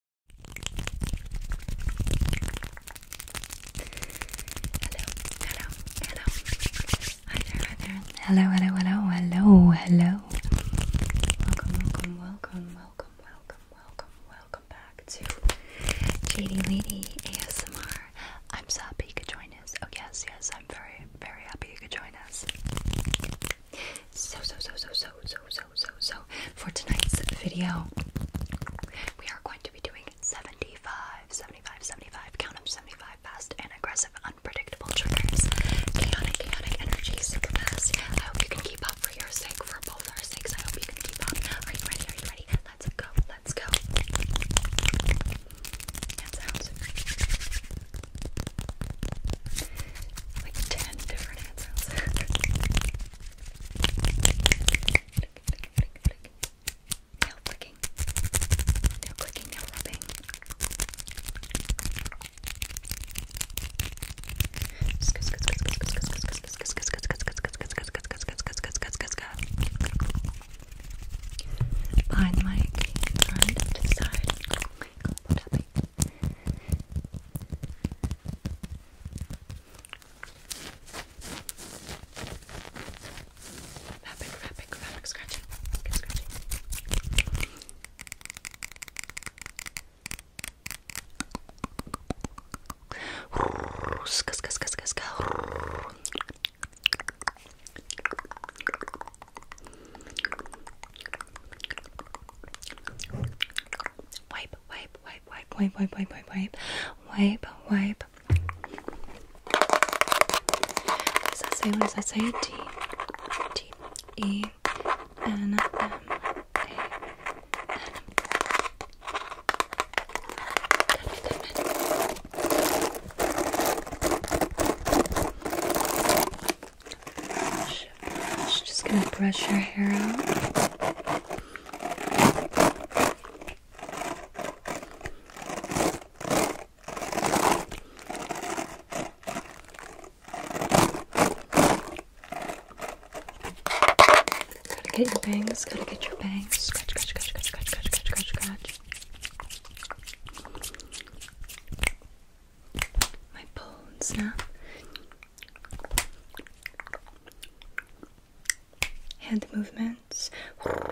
hello, hello. Hi there, hi there. Hello, hello, hello, hello, hello. Welcome, welcome, welcome, welcome, welcome, welcome, welcome back to JD Lady ASMR. I'm so happy you could join us. Oh yes, yes, I'm very, very happy you could join us. So, so, so, so, so, so, so, so, so, for tonight's video, we are going to be doing 75, 75, 75, count them 75 fast and aggressive, unpredictable triggers, chaotic, chaotic energies, fast. I hope you can keep up for your sake, for both our sakes. I hope you can keep up. Are you ready? Are you ready? Let's go. Let's go. 10 different hand Nail clicking. Nail clicking, nail rubbing. Behind the mic, in front, to the side. Tapping. Fabric, fabric, fabric scratching. Get scratching. Ska, ska, ska, ska, ska just wipe, wipe, wipe, wipe, wipe, wipe, wipe, wipe, wipe, wipe, wipe. What does that say? What does that say? T T E N M A N. Good, good, good. She's Just gonna brush your hair out. Gotta get your bangs, gotta get your bangs. Scratch, scratch, scratch, scratch, scratch, scratch, scratch, My bones now. Head movements. Let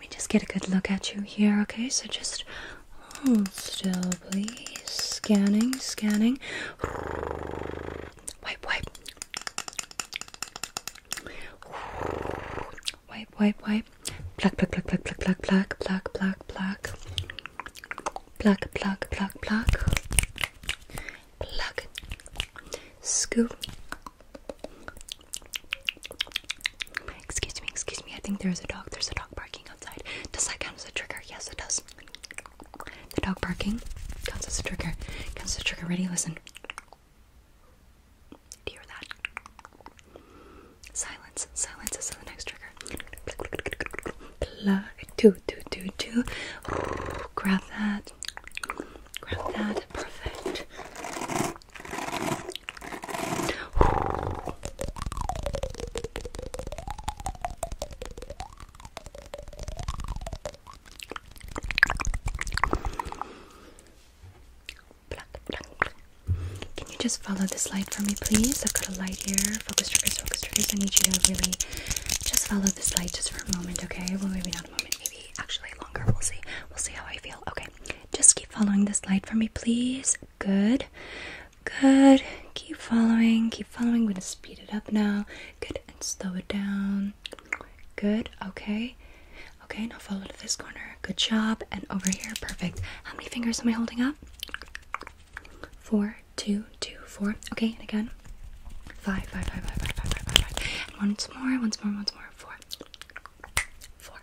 me just get a good look at you here, okay? So just Hold still, please. Scanning, scanning. Wipe, wipe. Wipe, wipe, wipe. Pluck, pluck, pluck, pluck, pluck, pluck, pluck, pluck, pluck, pluck. Pluck, pluck, pluck, pluck. Pluck. Scoop. Excuse me, excuse me. I think there's a dog. There's a dog barking outside. Does that count as a trigger? Yes, it does. The dog barking counts as a trigger. Counts as a trigger. Ready? Listen. Do you that? Silence. Silence is the next trigger. Plug. Grab that. Grab that. Perfect. Can you just follow this light for me, please? I've got a light here. Focus triggers, focus triggers. I need you to really just follow this light just for a moment, okay? Well, maybe not a moment, maybe actually longer. We'll see. We'll see how I feel. Okay, just keep following this light for me, please. Good. Good. Keep following. Keep following. We're going to speed it up now. Good. And slow it down. Good. Okay. Okay. Now follow to this corner. Good job. And over here. Perfect. How many fingers am I holding up? Four, two, two, four. Okay. And again. Five, five, five, five, five, five, five, five, five. And once more. Once more. Once more. Four. Four.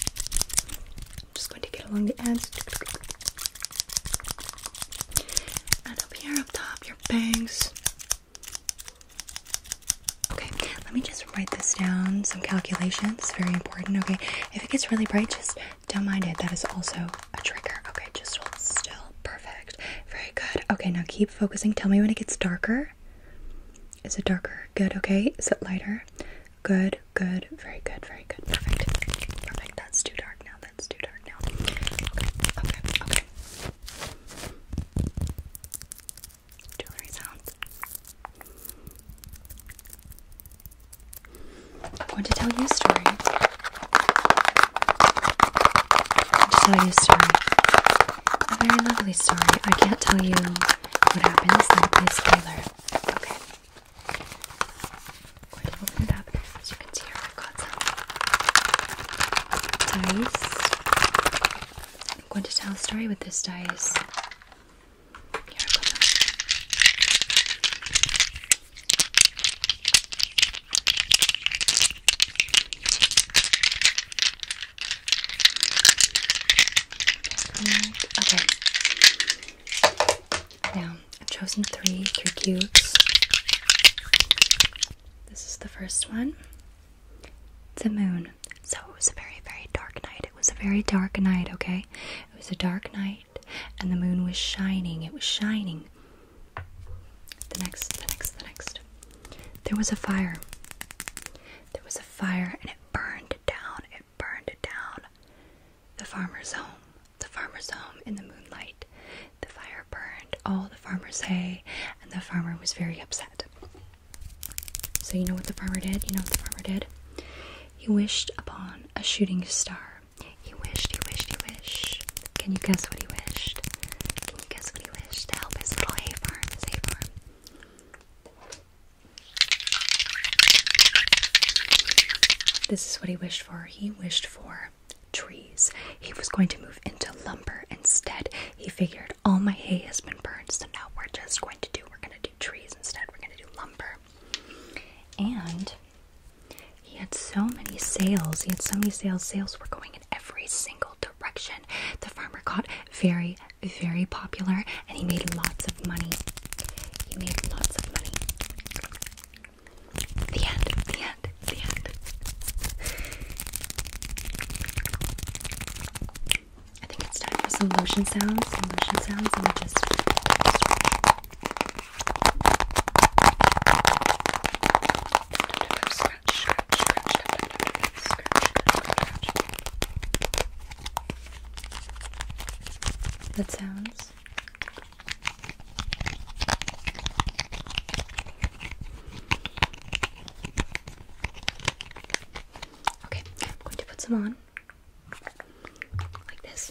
I'm just going to get along the ends. And up here, up top, your bangs. Okay, let me just write this down. Some calculations, very important. Okay, if it gets really bright, just don't mind it. That is also a trigger. Okay, just hold still. Perfect. Very good. Okay, now keep focusing. Tell me when it gets darker. Is it darker? Good. Okay. Is it lighter? Good. Good, very good, very good. Perfect. Perfect. That's too dark now. That's too dark now. Okay, okay, okay. Jewelry sounds. I want to tell you a story. I want to tell you a story. A very lovely story. I can't tell you what happens, that would be Okay. I'm going to open it up. As you can see i got some dice. I'm going to tell a story with this dice. Okay. Now, I've chosen three, three cubes. This is the first one. It's a moon. So it was a very, very dark night. It was a very dark night, okay? It was a dark night and the moon was shining. It was shining. The next, the next, the next. There was a fire. There was a fire and it burned down. It burned down the farmer's home. The farmer's home in the moonlight. The fire burned all the farmer's hay, and the farmer was very upset. So, you know what the farmer did? You know what the farmer did? He wished upon a shooting star. He wished, he wished, he wished. Can you guess what he wished? Can you guess what he wished to help his little hay farm, hay farm? This is what he wished for. He wished for trees. He was going to move into lumber instead. He figured all my hay has been burned, so now we're just going to do we're going to do trees instead. We're going to do lumber. And he had so many sales. He had so many sales. Sales were going in every single direction. The farmer got very very, popular and he made lots of money. He made lots of money. The end, the end, the end. I think it's time for some lotion sounds, lotion sounds that sounds. Okay, I'm going to put some on like this.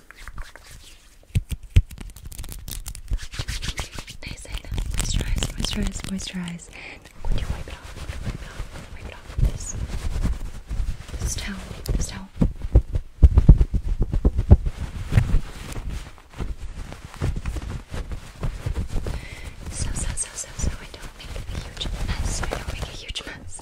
Nice, I Moisturize, moisturize, moisturize. I'm wipe it off. wipe it off. wipe it off this. This towel. This towel. So, so, so, so, so I don't make a huge mess. I don't make a huge mess.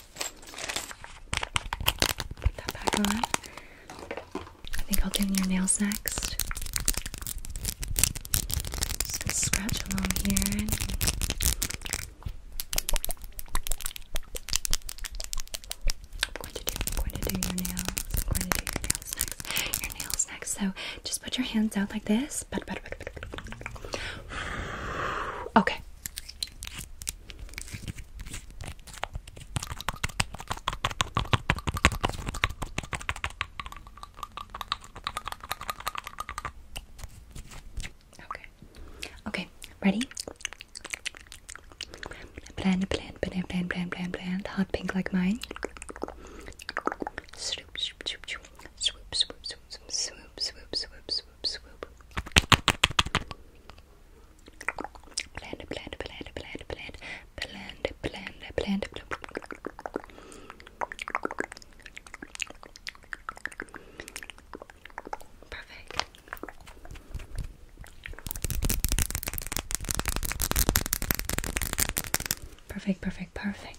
Put that back on. I think I'll do your nails next. Just gonna scratch along here. I'm going to do going to do your nails. going to do your nails next. Your nails next. So just put your hands out like this. Okay. Okay. Okay. Ready? Plan, plan, plan, plan, plan, plan, plan. Hot pink like mine. Swoop, swoop, swoop, swoop, swoop, swoop, swoop, swoop, swoop, swoop, swoop, swoop, swoop, Blend, blend, blend, blend, blend, blend, blend, blend, blend. Perfect. Perfect, perfect, perfect.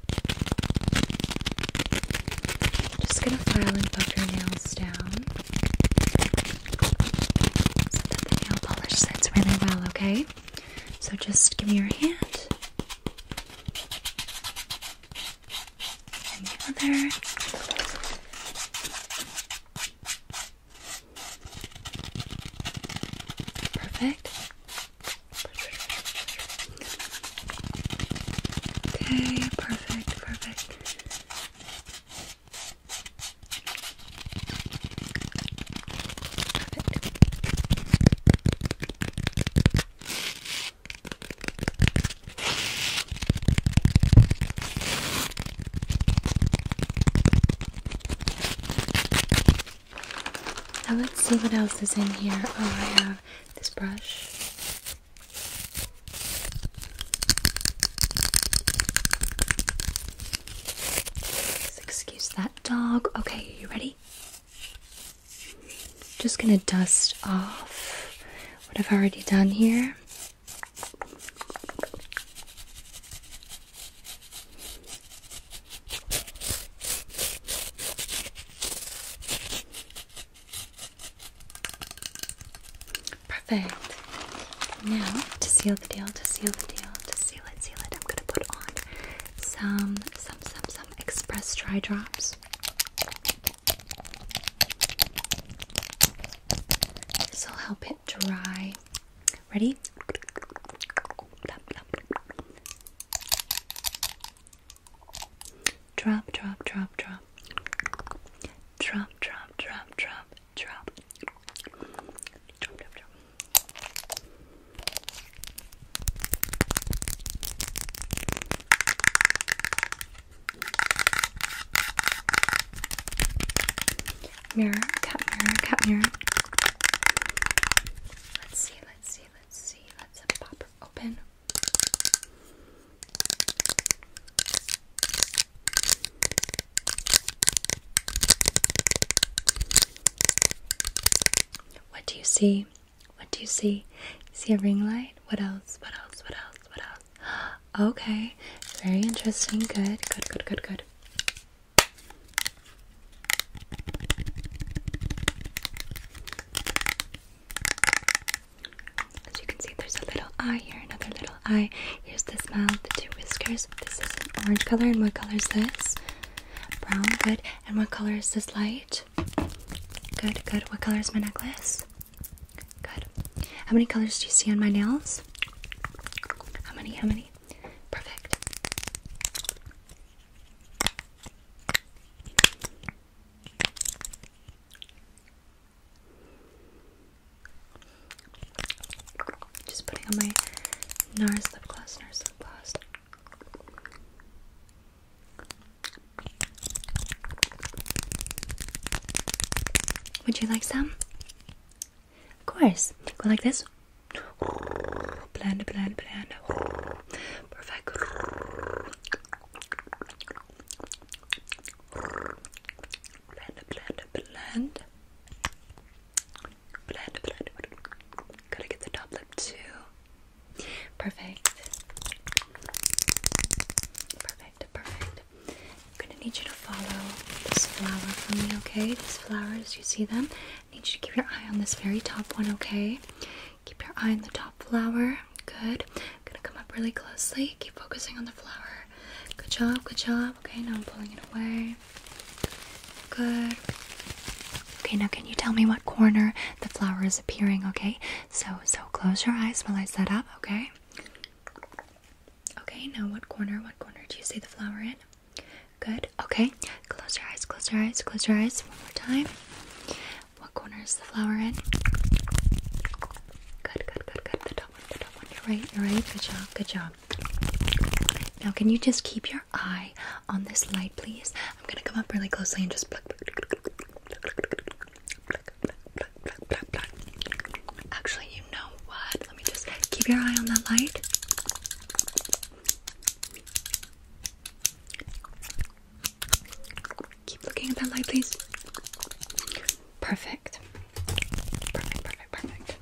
Just gonna file and buff your nails down. So that the nail polish sets really well, okay? So just give me your hand. And the other. Perfect. Okay, perfect, perfect. Now let's see what else is in here. Oh, I have this brush. excuse that dog. Okay, you ready? Just gonna dust off what I've already done here. Perfect. Now, to seal the deal, to seal the deal, to seal it, seal it, I'm gonna put on some, some, some, some express dry drops. This will help it dry. Ready? Drop, drop, drop, drop. Drop, drop, drop, drop, drop. Drop, drop, drop. Mirror, cut mirror, cut mirror. Let's see, let's see, let's see. Let's pop her open. What do you see? What do you see? see a ring light? What else? What else? What else? What else? Okay, very interesting. Good, good, good, good, good. As you can see, there's a little eye here, another little eye. Here's the mouth, the two whiskers. This is an orange color, and what color is this? Brown, good. And what color is this light? Good, good. What color is my necklace? Good. How many colors do you see on my nails? How many? How many? Perfect. Just putting on my NARS lip gloss, NARS lip gloss. Would you like some? Of course. Go like this. Blend, blend, blend. Perfect. Blend, blend, blend. Blend, blend. Gotta get the top lip too. Perfect. Perfect, perfect. gonna need you to follow this flower for me, okay? These flowers, you see them? I need you to keep your eye on this very top one, okay? Keep your eye on the top flower. Good. I'm gonna come up really closely. Keep focusing on the flower. Good job, good job. Okay, now I'm pulling it away. Good. Okay, now can you tell me what corner the flower is appearing, okay? So so close your eyes while I set up, okay? Okay, now what corner, what corner do you see the flower in? Good. Okay. Close your eyes. Close your eyes. Close your eyes. One more time. What corner is the flower in? Good. Good. Good. Good. The top one. The top one. You're right. You're right. Good job. Good job. Now, can you just keep your eye on this light, please? I'm gonna come up really closely and just pluck, Actually, you know what? Let me just keep your eye on that light. Keep looking at that light, please. Perfect. Perfect, perfect, perfect.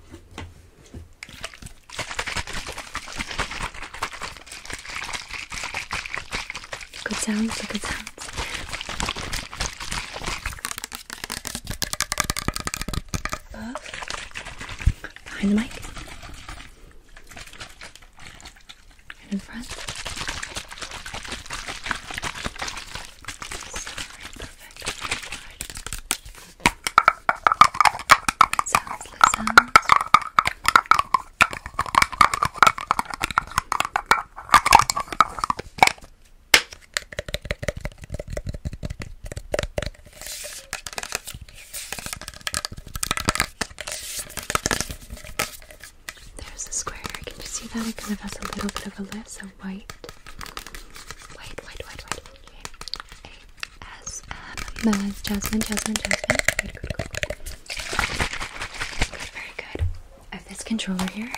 Good sounds, good sounds. Behind the mic and in front. Sorry, perfect. That sounds, that sounds. Perfect. There's the square. Can you see that? It kind of has a little bit of a list of white. White, white, white, white. Okay. Jasmine, Jasmine, Jasmine. Good, good, good. Good, very good. I have this controller here.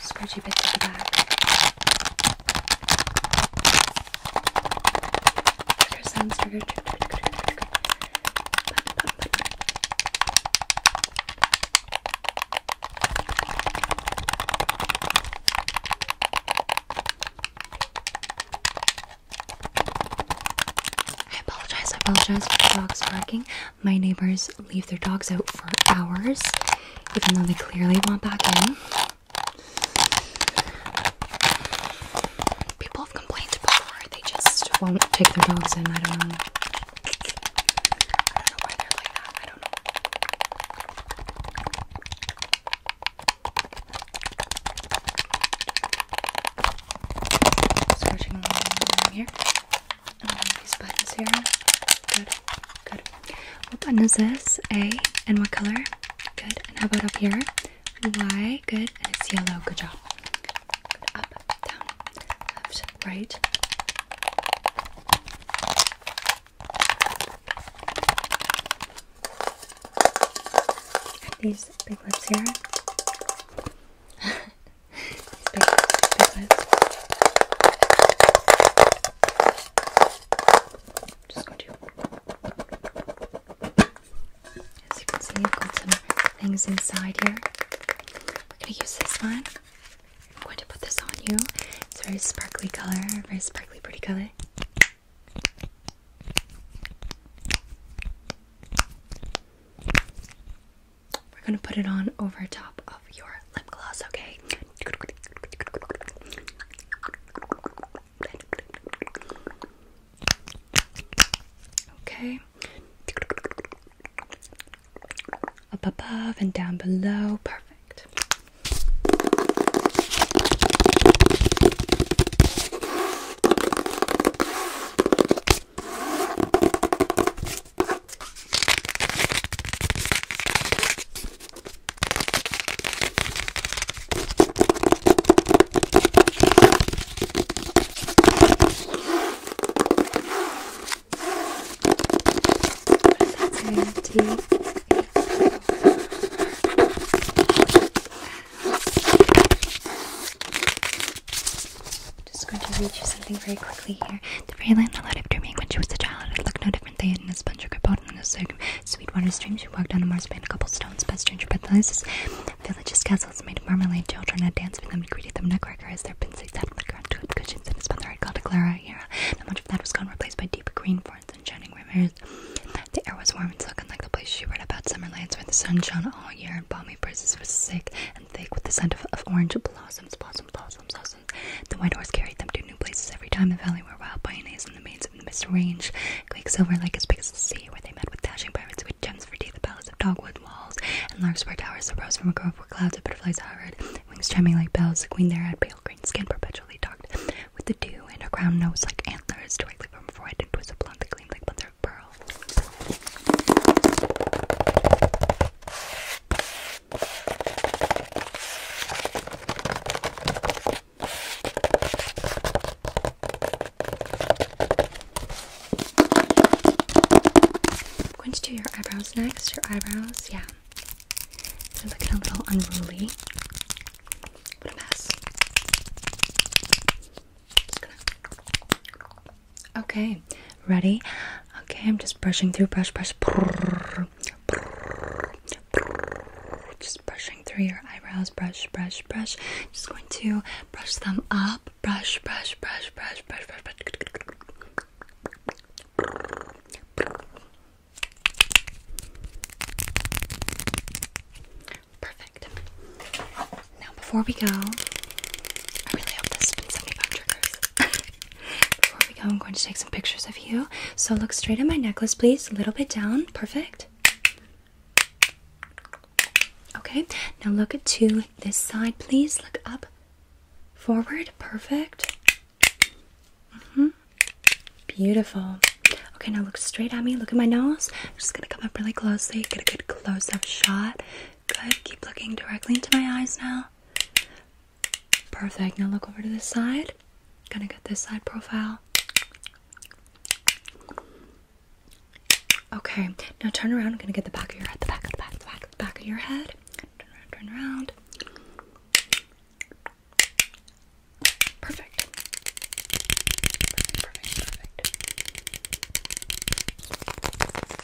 Scratchy bits at the back. I apologize, I apologize for the dogs barking. My neighbors leave their dogs out for hours, even though they clearly want back in. People have complained before, they just won't take their dogs in. I don't know. I don't know why they're I don't know. Searching here. Oh, these buttons here. Good, good. What button is this? A. And what color? Good. And how about up here? Y. Good. And it's yellow. Good job. Up, down, left, right. These big lips here. big lips. As you can see, I've got some things inside here. We're going to use this one. I'm going to put this on you. It's a very sparkly color, very sparkly, pretty color. We're going to put it on over top of your lip gloss, okay? Okay. Up above and down below. Perfect. I'm just going to read you something very quickly here. The very lamp allowed of dreaming when she was a child and looked different they had in a sponge or bottom in a water stream. She walked on a marsh a couple stones, past stranger pet palaces, villages, castles made of marmalade. Children had danced for them and greeted them nutcracker as their pincers sat on the cushions and spun their head called a Not much of that was gone, replaced by deep green forests and shining rivers. The air was warm and silken like the place she read about summerlands where the sun shone all year and balmy breezes were sick and thick with the scent of, orange blossoms, blossoms, blossoms, blossoms. The White Horse carried them to new places every time the valley where wild pioneers and the maids of the mist range. Quicksilver, Lake, as big as the sea, where they met with dashing pirates with gems for tea, the palace of dogwood walls, and large square towers that rose from a grove where clouds of butterflies hovered, wings chiming like bells. The queen there had pale green skin perpetually docked with the dew, and a crown nose like antlers directly from her forehead and twisted blonde that gleamed like mother of pearl. I'm going to do your eyebrows next. Your eyebrows, yeah. They're looking a little unruly. What a mess. Okay, Ready? Okay, I'm just brushing through. Brush, brush. Just brushing through your eyebrows. Brush, brush, brush. Just going to brush them up. Brush, brush, brush, brush, brush, brush, brush. Perfect. Now, before we go, I really hope this has been 75 triggers. Before we go, I'm going to take some pictures of you. So look straight at my necklace, please. A little bit down. Perfect. Okay, now look to this side, please. Look up, forward. Perfect. -hmm. Beautiful. Okay, now look straight at me. Look at my nose. I'm just gonna come up really closely, get a good close up shot. Good. Keep looking directly into my eyes now. Perfect. Now look over to this side. Gonna get this side profile. Okay, now turn around. I'm gonna get the back of your head, the back of the back, the the back of your head. Turn around, turn around. Perfect, perfect, perfect.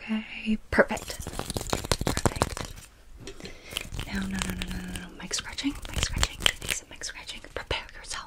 Okay, perfect. Perfect. No, no, no, no, no, no, Mic scratching, mic scratching, need mic scratching. Prepare yourself.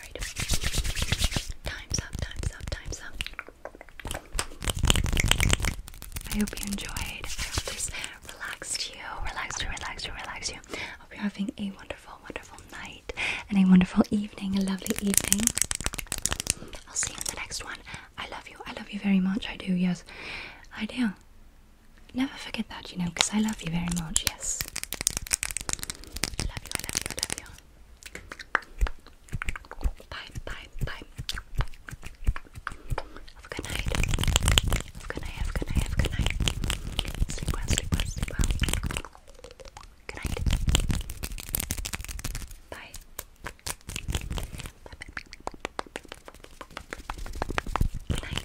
Time's up, time's up, time's up. I hope you enjoyed. I hope this relaxed you, relaxed you, relaxed you, relaxed you. I hope you're having a wonderful, wonderful night and a wonderful evening, a lovely evening. I'll see you in the next one. I love you. I love you very much. I do, yes. I do. Never forget that, you know, because I love you very much, yes. I love you, I love you, I love you. Bye, bye, bye. Have a good night. good night, have a good night, have a good night. Sleep well, sleep well, sleep well. Good night. Bye. Good night. Good night.